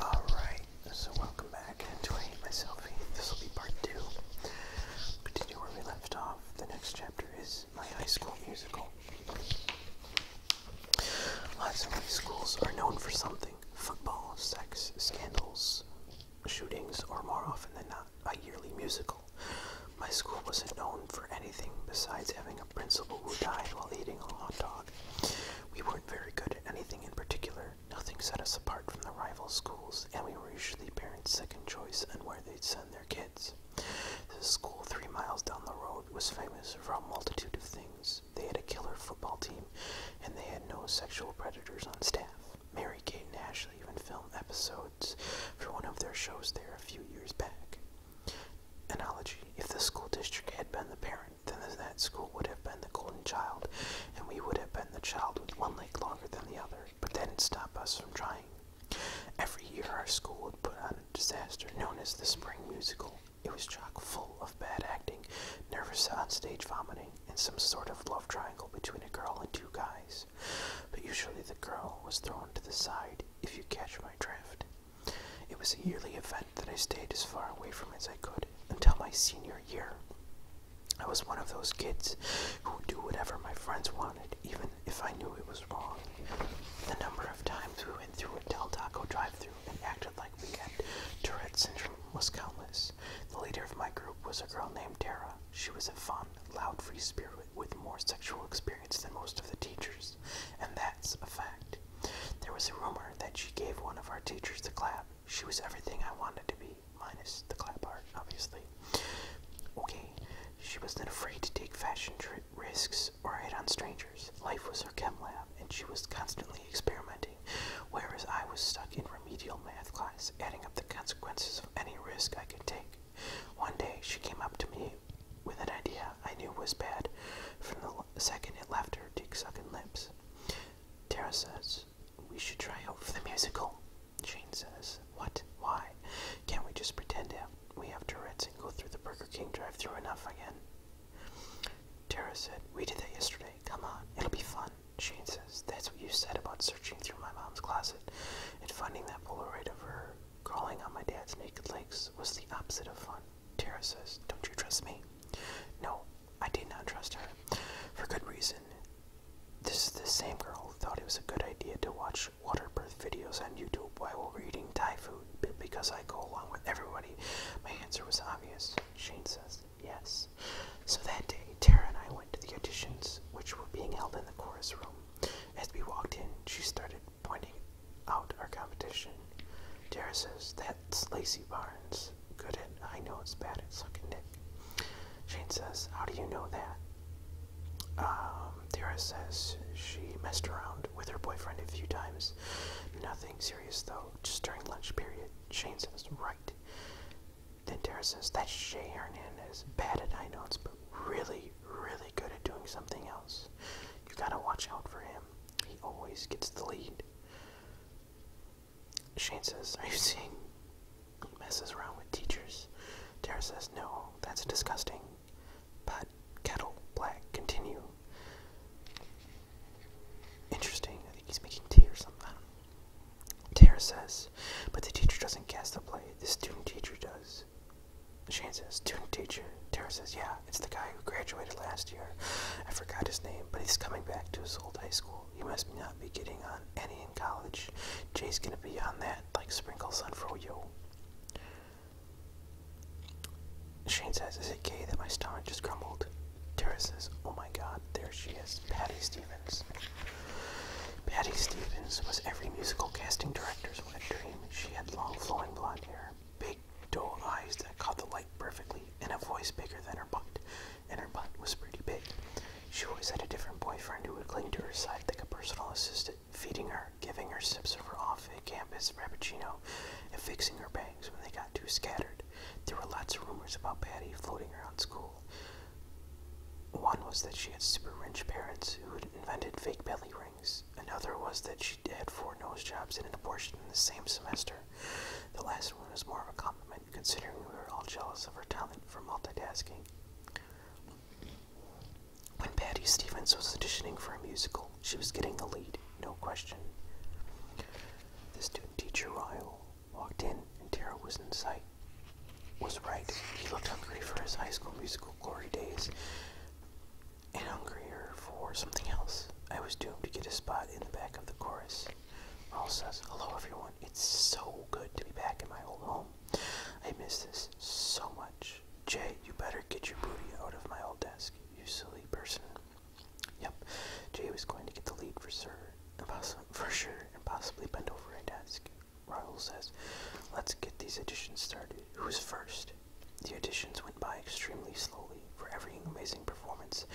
Alright, so welcome back to I Hate My This will be part two. Continue where we left off. The next chapter is My High School Musical. Lots of high schools are known for something football, sex, scandals, shootings, or more often than not, a yearly musical. My school wasn't known for anything besides having a a principal who died while eating a hot dog. We weren't very good at anything in particular. Nothing set us apart from the rival schools, and we were usually parents' second choice and where they'd send their kids. The school three miles down the road was famous for a multitude of things. They had a killer football team, and they had no sexual predators on staff. Mary Kate and Ashley even filmed episodes for one of their shows there a few years back. Analogy If the school district had been the parent, then that school would have been the golden child, and we would have been the child with one leg longer than the other, but that didn't stop us from trying. Every year our school would put on a disaster known as the Spring Musical. It was chock full of bad acting, nervous onstage vomiting, and some sort of love triangle between a girl and two guys. But usually the girl was thrown to the side, if you catch my drift. It was a yearly event that I stayed as far away from as I could until my senior year. I was one of those kids who would do whatever my friends wanted, even if I knew it was wrong. The number of times we went through a Del Taco drive through and acted like we had Tourette syndrome was countless. The leader of my group was a girl named Tara. She was a fun, loud, free spirit with more sexual experience than most of the teachers, and that's a fact. There was a rumor that she gave one of our teachers the clap. She was everything I wanted to be, minus the clap part, obviously. Okay, she wasn't afraid to take fashion risks or hit on strangers. Life was her chem lab, and she was constantly experimenting, whereas I was stuck in remedial math class, adding up the consequences of any risk I could take. One day, she came up to me with an idea I knew was bad from the second it left her dick-sucking lips. Tara says, we should try out for the musical. Shane says, what? Why? Can't we just pretend we have Tourette's and go through the Burger King drive through enough again? Tara said, we did that yesterday. Come on, it'll be fun. Shane says, that's what you said about searching through my mom's closet and finding that Polaroid of her crawling on my dad's naked legs was the opposite of fun. Tara says, Don't you trust me? No, I did not trust her. For good reason. This is the same girl who thought it was a good idea to watch water birth videos on YouTube while eating Thai food because I go along with everybody. My answer was obvious. Shane says, Yes. So that day, Tara and I went to the auditions, which were being held in the chorus room. As we walked in, she started pointing out our competition. Tara says, That's Lacey Barnes. Good at I know it's bad at sucking dick. Shane says, How do you know that? Um, Tara says she messed around with her boyfriend a few times. Nothing serious though, just during lunch period. Shane says, Right. Then Tara says, That's Shay Hernandez. Bad at I know it's but really, really good at doing something else. You gotta watch out for him. He always gets the lead. Shane says, Are you seeing he messes around with teachers? Tara says, No, that's disgusting. But kettle black continue. Interesting, I think he's making tea or something. Tara says, But the teacher doesn't cast the play, the student teacher does. Shane says, student teacher. Tara says, yeah, it's the guy who graduated last year. I forgot his name, but he's coming back to his old high school. He must not be getting on any in college. Jay's gonna be on that like sprinkles on froyo. Shane says, is it gay that my stomach just crumbled?" Tara says, oh my god, there she is, Patty Stevens. Patty Stevens was every musical casting director's wet dream. She had long flowing blonde hair, big doe eyes that caught the light perfectly, and a voice bigger than her butt. And her butt was pretty big. She always had a different boyfriend who would cling to her side like a personal assistant, feeding her, giving her sips of her off-campus frappuccino, and fixing her bangs when they got too scattered. There were lots of rumors about Patty floating around school. One was that she had super rich parents who had invented fake belly rings Another was that she had four nose jobs and an abortion in the same semester. The last one was more of a compliment, considering we were all jealous of her talent for multitasking. When Patty Stevens was auditioning for a musical, she was getting the lead, no question. The student teacher, Ryle, walked in and Tara was in sight was right. He looked hungry for his high school musical glory days and hungrier for something else. I was doomed to get a spot in the back of the chorus. Raul says, Hello everyone, it's so good to be back in my old home. I miss this so much. Jay, you better get your booty out of my old desk, you silly person. Yep, Jay was going to get the lead for sure, for sure, and possibly bend over a desk. Raoul says, Let's get these editions started. Who's first? The editions went by extremely slowly. For every amazing performance,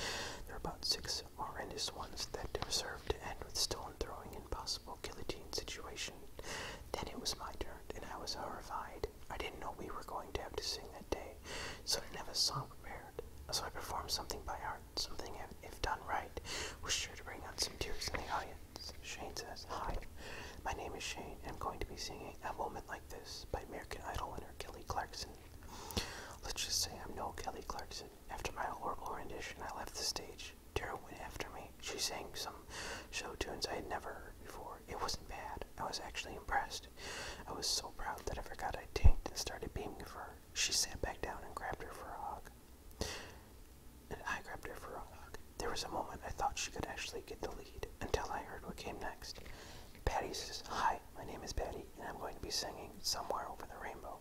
there were about six horrendous ones that were served to end with stone throwing and possible guillotine situation. Then it was my turn, and I was horrified. I didn't know we were going to have to sing that day, so I didn't have a song prepared. So I performed something by heart, something if done right was sure to bring out some tears in the audience. Shane says, Hi, my name is Shane, I'm going to be singing A Moment Like This by American Idol winner Kelly Clarkson. Let's just say I'm no Kelly Clarkson. After my horrible rendition, I left the stage. Tara went after me. She sang some show tunes I had never heard before. It wasn't bad. I was actually impressed. I was so proud that I forgot I tanked and started beaming for her. She sat back down and grabbed her for a hug and I grabbed her for a hug. There was a moment I thought she could actually get the lead until I heard what came next. Patty says, Hi, my name is Patty, and I'm going to be singing Somewhere Over the Rainbow.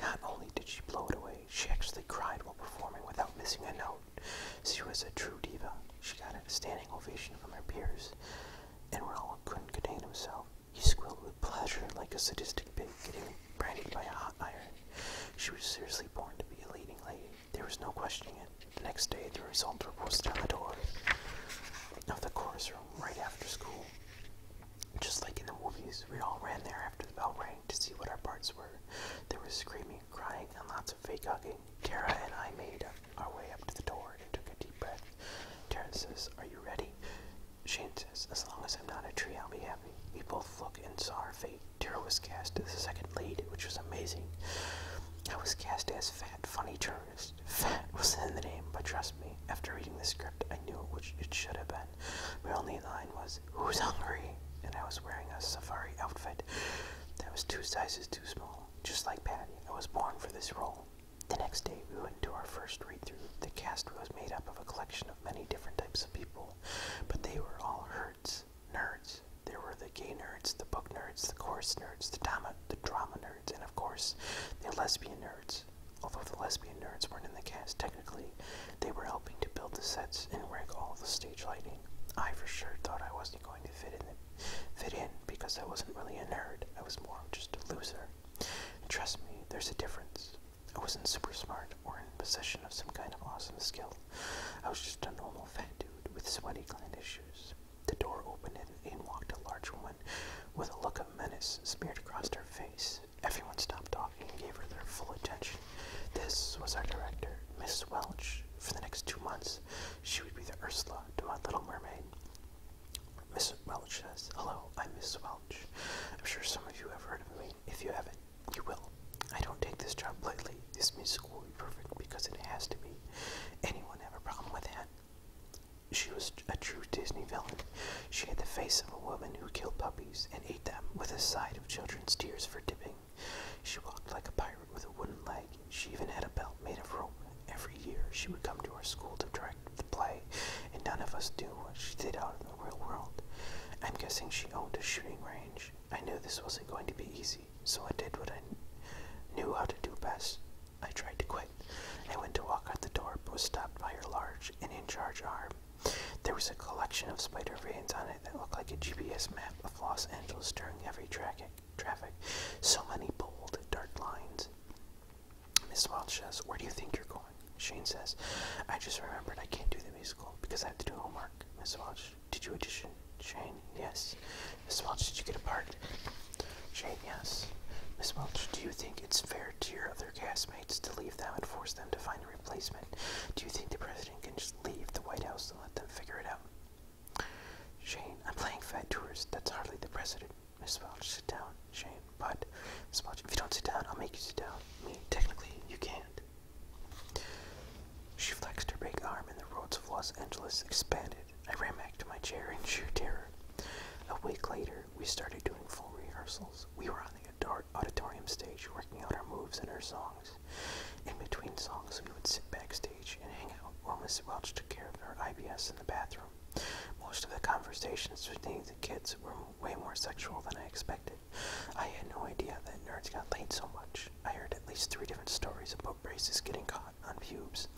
Not only did she blow it away, she actually cried while performing without missing a note. She was a true diva. She got a standing ovation from her peers, and Ronald couldn't contain himself. He squealed with pleasure like a sadistic pig getting branded by a hot iron she was seriously born to be a leading lady. There was no questioning it. The next day, the results were posted on the door of the chorus room right after school. Just like in the movies, we all ran there after the bell rang to see what our parts were. There was screaming, crying, and lots of fake hugging. Tara and I made our way up to the door and took a deep breath. Tara says, Are you ready? Shane says, as long as I'm not a tree, I'll be happy. We both look and saw our fate. Tara was cast as the second lead, which was amazing. I was cast as Fat Funny Tourist. Fat was in the name, but trust me, after reading the script, I knew which it should have been. My only line was, Who's hungry? And I was wearing a safari outfit that was two sizes too small. Just like Patty, I was born for this role. The next day, we went to our first read through. The cast was made up of a collection many different types of people, but they were all herds, nerds. There were the gay nerds, the book nerds, the chorus nerds, the drama, the drama nerds, and of course, the lesbian nerds. Although the lesbian nerds weren't in the cast technically, they were helping to build the sets and rig all the stage lighting. I for sure thought I wasn't going to fit in, fit in because I wasn't really a nerd. I was more just a loser. trust me, there's a difference. I wasn't super smart or in possession of some kind of awesome skill. I was just a normal fat dude with sweaty gland issues. The door opened and in walked a large woman with a look of menace smeared across her face. Everyone stopped talking and gave her their full attention. This was our director, Miss Welch. For the next two months, she would be the Ursula to my Little Mermaid. Miss Welch says, Hello, I'm Miss Welch. I'm sure some of you have heard of me. If you haven't, you will. I don't take this job lightly. This music will be perfect because it has to be. Anyone have a problem with that? She was a true Disney villain. She had the face of a woman who killed puppies and ate them with a side of children's tears for dipping. She walked like a pirate with a wooden leg. She even had a belt made of rope. Every year, she would come to our school to direct the play, and none of us do what she did out in the real world. I'm guessing she owned a shooting range. I knew this wasn't going to be easy, so I did what I knew how to do best. I tried to quit. I went to walk out the door, but was stopped by her large and in charge arm. There was a collection of spider veins on it that looked like a GPS map of Los Angeles during every Traffic, so many bold, dark lines. Miss Welch says, Where do you think you're going? Shane says, I just remembered I can't do the musical because I have to do homework. Miss Welch, did you audition? Shane, yes. Miss Welch, did you get a part? Shane, yes. Miss Welch, do you think it's fair to your other castmates to leave them and force them to find a replacement? Do you think the president can just leave the White House and let them figure it out? Shane, I'm playing Fat Tours. That's hardly the president. Miss Welch, sit down, Shane. But Miss Welch, if you don't sit down, I'll make you sit down. Me, technically, you can't. She flexed her big arm, and the roads of Los Angeles expanded. I ran back to my chair in sheer terror. A week later, we started doing full rehearsals. We were on the auditorium stage, working out our moves and our songs. In between songs, we would sit backstage and hang out while Miss Welch took care of her IBS in the bathroom. Most of the conversations between the kids were way more sexual than I expected. I had no idea that nerds got laid so much. I heard at least three different stories about braces getting caught on pubes,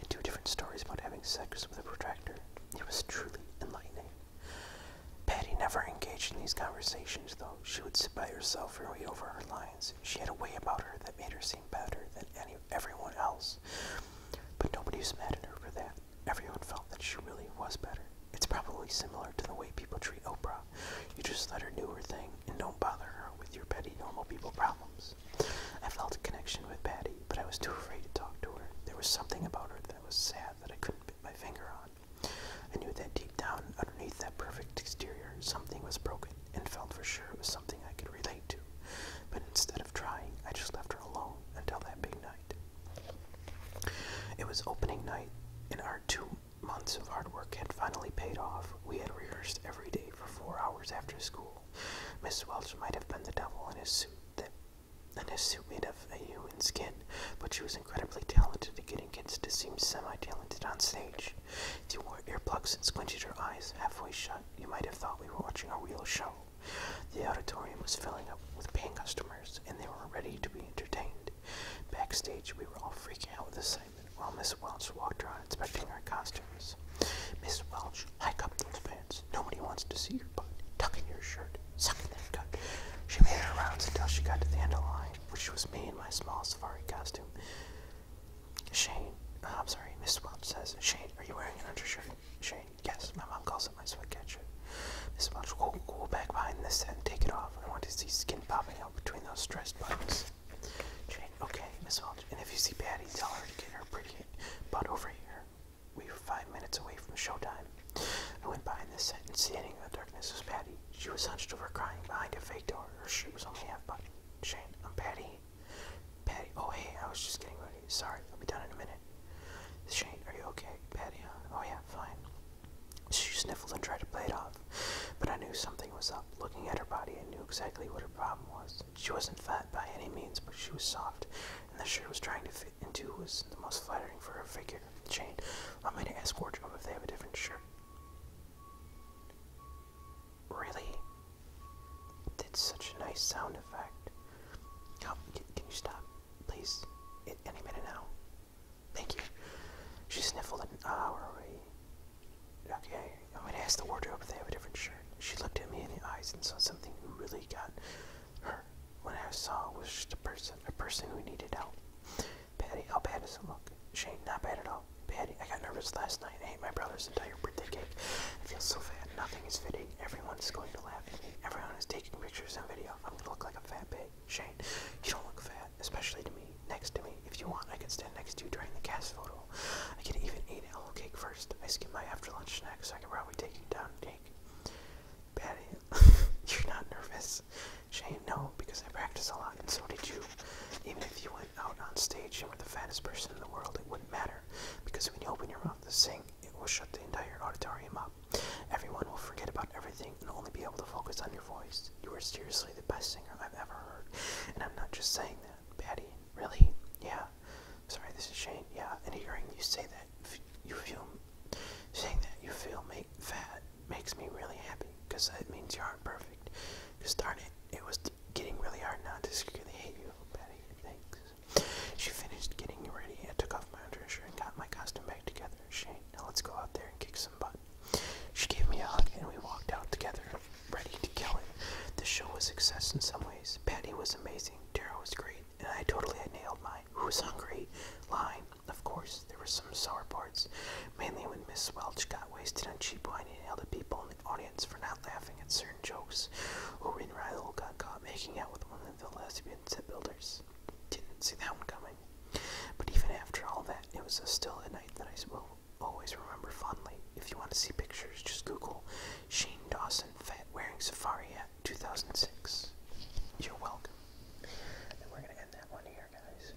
and two different stories about having sex with a protractor. It was truly enlightening. Patty never engaged in these conversations, though. She would sit by herself and read over her lines. She had a way about her that made her seem better than any everyone else. But nobody was mad at her for that. Everyone felt that she really was better. It's probably similar to the way people treat Oprah. You just let her do her thing and don't bother her with your petty normal people problems. I felt a connection with Patty, but I was too afraid to talk to her. There was something about her that was sad that I couldn't put my finger on. I knew that deep down, underneath that perfect exterior, something was broken and felt for sure it was something I could relate to, but instead of trying, I just left her alone until that big night. It was opening night, and our two months of hard work had finally paid off. We had rehearsed every day for four hours after school. Miss Welch might have been the devil in a suit that and suit made of a human skin, but she was incredibly talented at getting kids to seem semi-talented on stage. She wore earplugs and squinted her eyes halfway shut you might have thought we were watching a real show. The auditorium was filling up with paying customers, and they were ready to be entertained. Backstage, we were all freaking out with excitement while Miss Welch walked around inspecting our costumes. Miss Welch, hike up those pants. Nobody wants to see your butt. Tuck in your shirt. Suck in that gut. She made her rounds until she got to the end of the line, which was me in my small safari costume. Shane, uh, I'm sorry, Miss Welch says, Shane, are you wearing an undershirt? Shane, yes, my mom calls it my sweatcatcher. Miss Welch, go, go back behind this and take it off. I want to see skin popping out between those stressed buttons. Shane, okay, Miss Welch, and if you see Patty, tell her to get her pretty butt over here. We are five minutes away from showtime. I went behind this set and standing in the darkness was Patty. She was hunched over crying behind a fake door. Her shoe was only half buttoned. Shane, I'm Patty. Patty, oh hey, I was just getting ready. Sorry, I'll be done in a minute. Shane, are you okay? Patty, uh, Oh yeah, fine. She sniffled and tried to play it off, but I knew something was up. Looking at her body, I knew exactly what her problem was. She wasn't fat by any means, but she was soft, and the shirt was trying to fit into was the most flattering for her figure. Shane, I'm going to ask wardrobe if they have a different shirt. Really? Did such a nice sound effect. Oh, can, you stop, please? It, any minute now. Thank you. She sniffled an hour away. Okay, I am gonna ask the wardrobe if they have a different shirt. She looked at me in the eyes and saw something who really got her. What I saw was just a person, a person who needed help. Patty, how bad does it look? Shane, not bad at all. Bad. I got nervous last night. I ate my brother's entire birthday cake. I feel so fat. Nothing is fitting. Everyone is going to laugh at me. Everyone is taking pictures and video. I'm gonna look like a fat pig. Shane, you don't look fat, especially to me. Next to me, if you want, I can stand next to you during the cast photo. I can even eat a whole cake first. I skipped my after lunch snack, so I can probably take you down cake. Patty, you're not nervous. Shane, no, because I practice a lot, and so did you. Even if you out on stage and were the fattest person in the world, it wouldn't matter. Because when you open your mouth to sing, it will shut the entire auditorium up. Everyone will forget about everything and only be able to focus on your voice. You are seriously the best singer I've ever heard. And I'm not just saying that. Patty, really? Yeah. Sorry, this is Shane. Yeah. And hearing you say that, you feel saying that you feel make fat makes me really happy because it means you aren't perfect. Because darn it, it was getting really hard not to secretly hate you, Patty. Thanks. She finished getting ready and took off my undershirt and got my costume back together. Shane, now let's go out there and kick some butt. She gave me a hug and we walked out together, ready to kill it. The show was a success in some ways. Patty was amazing, Tara was great, and I totally nailed my Who's hungry? Line. Of course, there were some sour parts, mainly when Miss Welch got wasted on cheap wine finding other people in the audience for not laughing at certain jokes. Orin Rydell got caught making out with one of the last lesbian set builders. Didn't see that one coming. But even after all that, it was still a night that I will always remember fondly. If you want to see pictures, just Google Shane Dawson Fat Wearing Safari at 2006. You're welcome. And we're going to end that one here, guys.